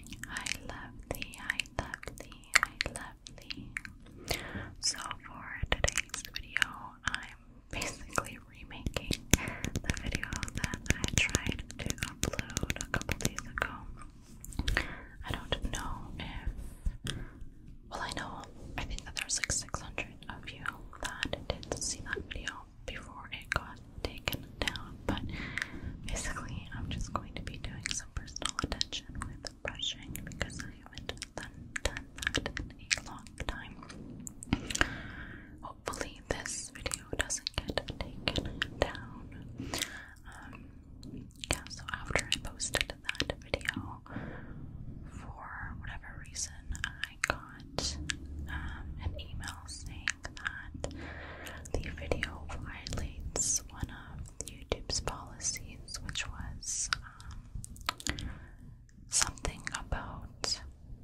I love thee, I love thee, I love thee. So for today's video, I'm basically remaking the video that I tried to upload a couple days ago. I don't know if, well I know, I think that there's like 600 of you that did see that video before it got taken down, but basically, I'm just going to be doing some personal attention with brushing because I haven't done, that in a long time. Hopefully, this video doesn't get taken down. Um, yeah, so after I posted that video, for whatever reason, I got um, an email saying that the video violates one of YouTube's policies, which was um, something about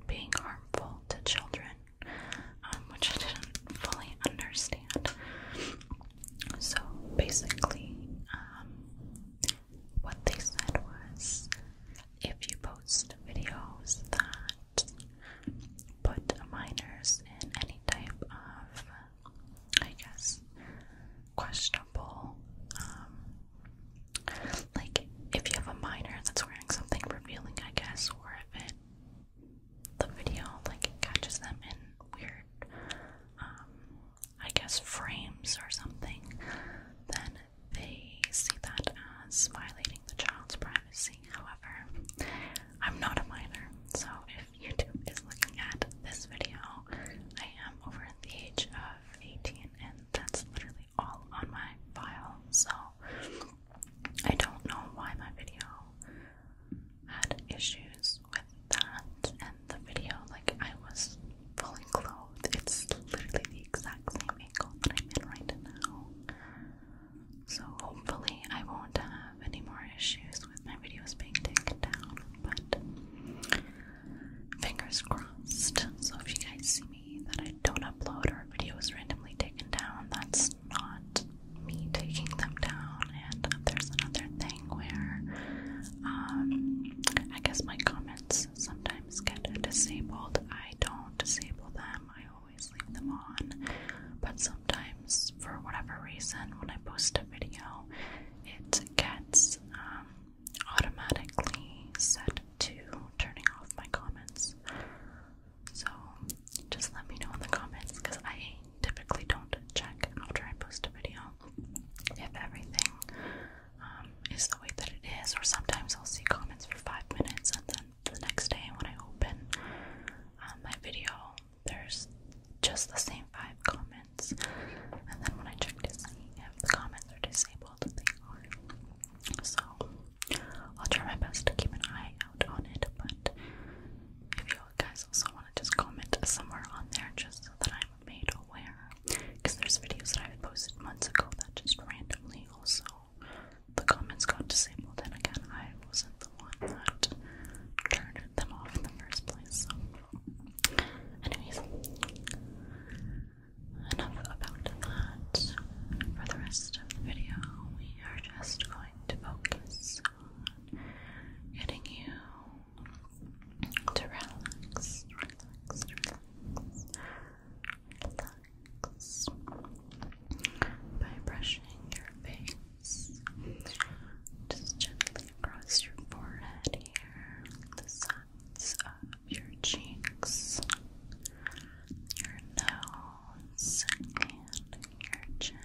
being harmful to children, um, which I didn't fully understand. So basically, um, what they said was if you post videos that put minors in any type of, I guess, questionable. Um, like, if you have a minor that's wearing something revealing, I guess, or if it the video like catches them in weird, um, I guess, frames or something, then they see that as violating the child's privacy. However, I'm not a minor, so if YouTube is looking at this video, I am over the age of 18, and that's literally all on my file. So I don't know why my video had issues with that, and the video, like I was fully clothed. It's literally the exact same angle that I'm in right now. So hopefully I won't have any more issues with my videos being taken down, but fingers crossed. So if you guys see me that I don't upload or videos randomly taken down, that's not me taking them down. And there's another thing where um I guess my comments sometimes get disabled. I don't disable them. I always leave them on, but sometimes, for whatever reason, when I post a video, it gets um, automatically set to turning off my comments. So just let me know in the comments because I typically don't check after I post a video if everything um, is the way that it is, or sometimes I'll see comments for five minutes and then the next day when I open um, my video, there's just the same five comments. And then when I check to see if the comments are disabled, they are. So I'll try my best to keep an eye out on it. But if you guys also want to just comment somewhere on there, just so that I'm made aware, because there's videos that I've posted months ago that just randomly also the comments got disabled, and again, I wasn't the one that turned them off in the first place. So, anyways, enough about that. For the rest of the video, we are just going to focus on getting you to relax, relax, relax, relax by brushing your face just gently across your forehead here, the sides of your cheeks, your nose, and your chin.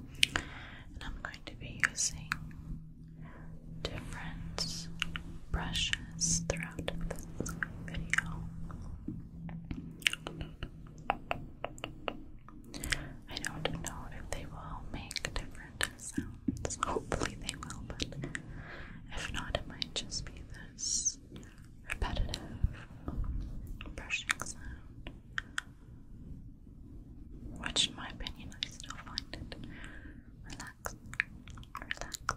And I'm going to be using different brushes throughout this video. I don't know if they will make different sounds. Hopefully they will, but if not, it might just be this repetitive brushing sound. Which, in my opinion, I still find it relaxing, relaxing,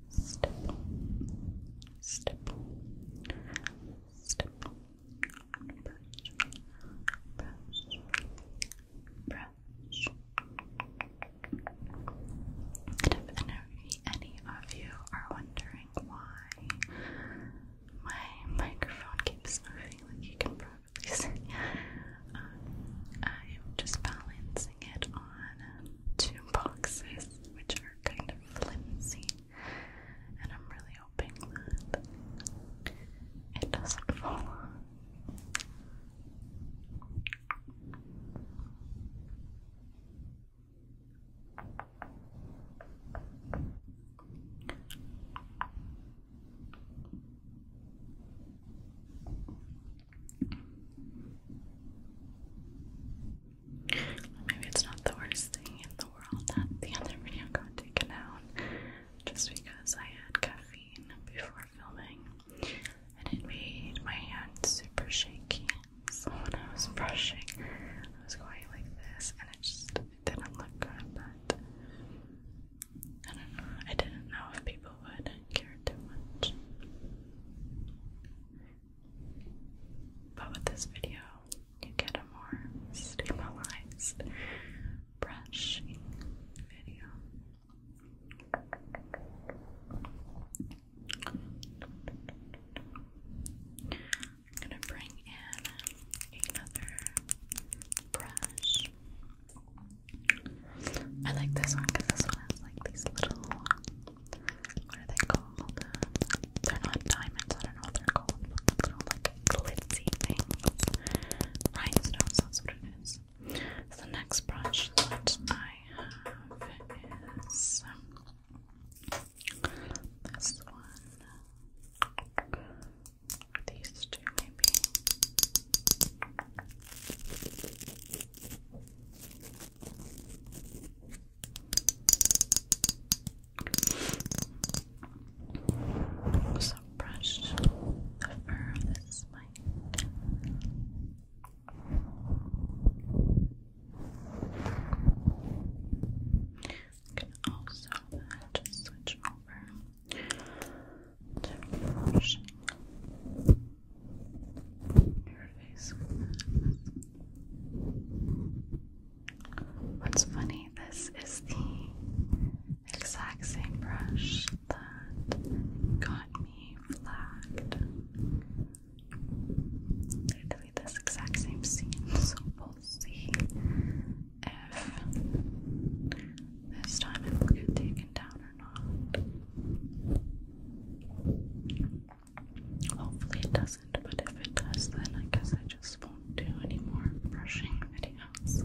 if any, any of you are wondering why my microphone keeps moving, like you can probably see, I'm just balancing it on two boxes, which are kind of flimsy, and I'm really hoping that it doesn't fall Maybe it's not the worst thing in the world that the other video got taken down just because I had caffeine before filming and it made my hand super shaky. So when I was brushing, I was going like this and it just didn't look good, but I don't know. I didn't know if people I don't care too much. But with this video, you get a more stabilized brushing video. I'm gonna bring in another brush. I like this one because this one has like these little, what are they called? Uh, they're not diamonds, I don't know what they're called, little like glitzy things. Rhinestones, that's what it is. the next brush that I have is this one. These two, maybe. So brush the fur of this mic. You can also just switch over to brushing. What's funny, this is the exact same brush that got me flagged. Literally this exact same scene, so we'll see if this time it will get taken down Hopefully it doesn't, but if it does, then I guess I just won't do any more brushing videos.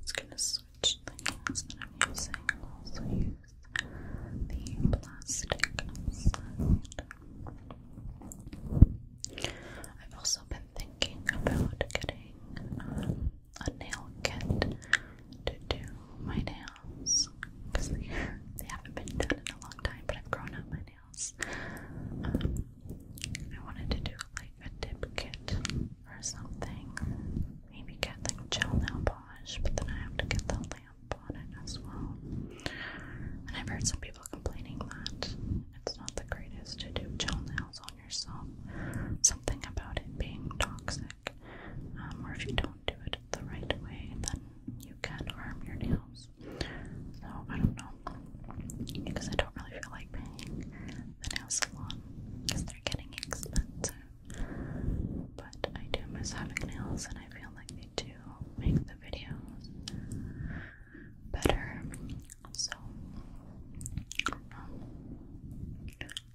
It's going to switch things that I'm using. i also use the plastic I've also been thinking about getting um, a nail kit to do my nails because they, haven't been done in a long time, but I've grown out my nails. Um, I wanted to do like a dip kit or something. Maybe get like gel nail polish, but then I have to get the lamp on it as well. And I've heard some people complaining that it's not the greatest to do gel nails on yourself. Something about it being toxic. Um, or if you don't do it the right way, then you can harm your nails. So I don't know. Because I don't really feel like paying the nail salon because they're getting expensive. But I do miss having nails and I feel like they do make the videos better. So um,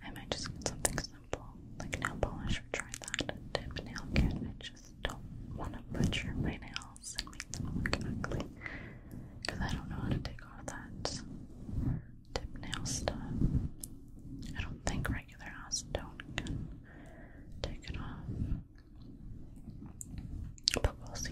I might just get something simple like nail polish or try that dip nail kit and just just don't want to butcher my nails and make them look ugly because I don't know how to take off that tip nail stuff. I don't think regular acetone can take it off, but we'll see.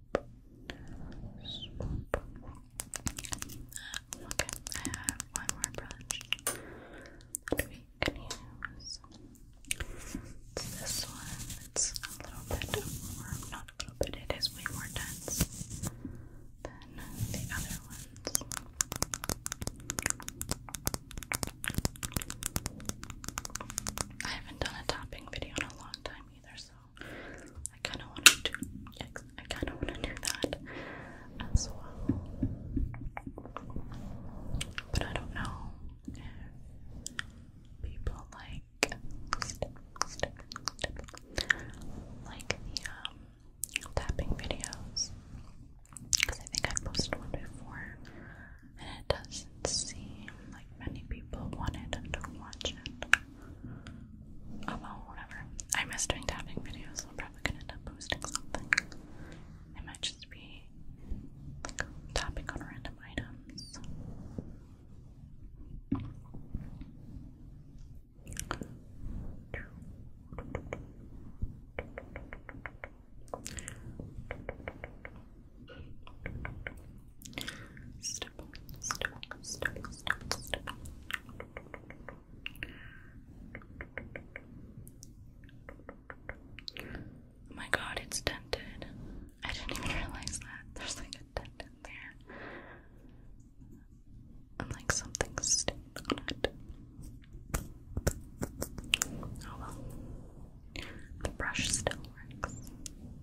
Okay, I have one more brush that we can use. this one. a little bit not a little bit, it is way more dense than the other ones. I haven't done a topping video in a long time either, so I kind of want to do. I kind of want to do that as well, but I don't know people like like the um, tapping videos because I think I posted one before and it doesn't seem like many people wanted to watch it. Oh well, whatever. I miss doing tapping videos, I'm probably gonna end up posting something. It might just be tapping on random items my god, it's dented. I didn't even realize that. There's like a dent in there. And like something stained on it. Oh well. The brush still works.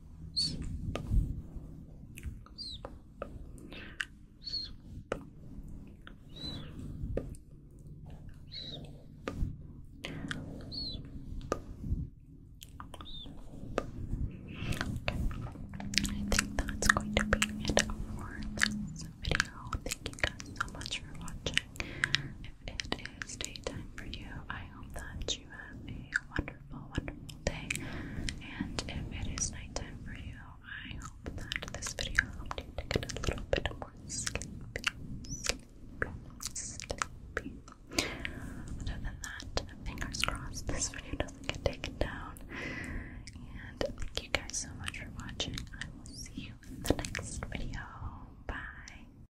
I think that's going to be it for this video. Thank you guys so much for watching it is daytime for you, I hope that you have a wonderful, wonderful day. And if it is nighttime for you, I hope that this video helped you get a little bit more sleepy, Other than that, fingers crossed this video doesn't get taken down. And thank you guys so much for watching. I will see you in the next video. Bye.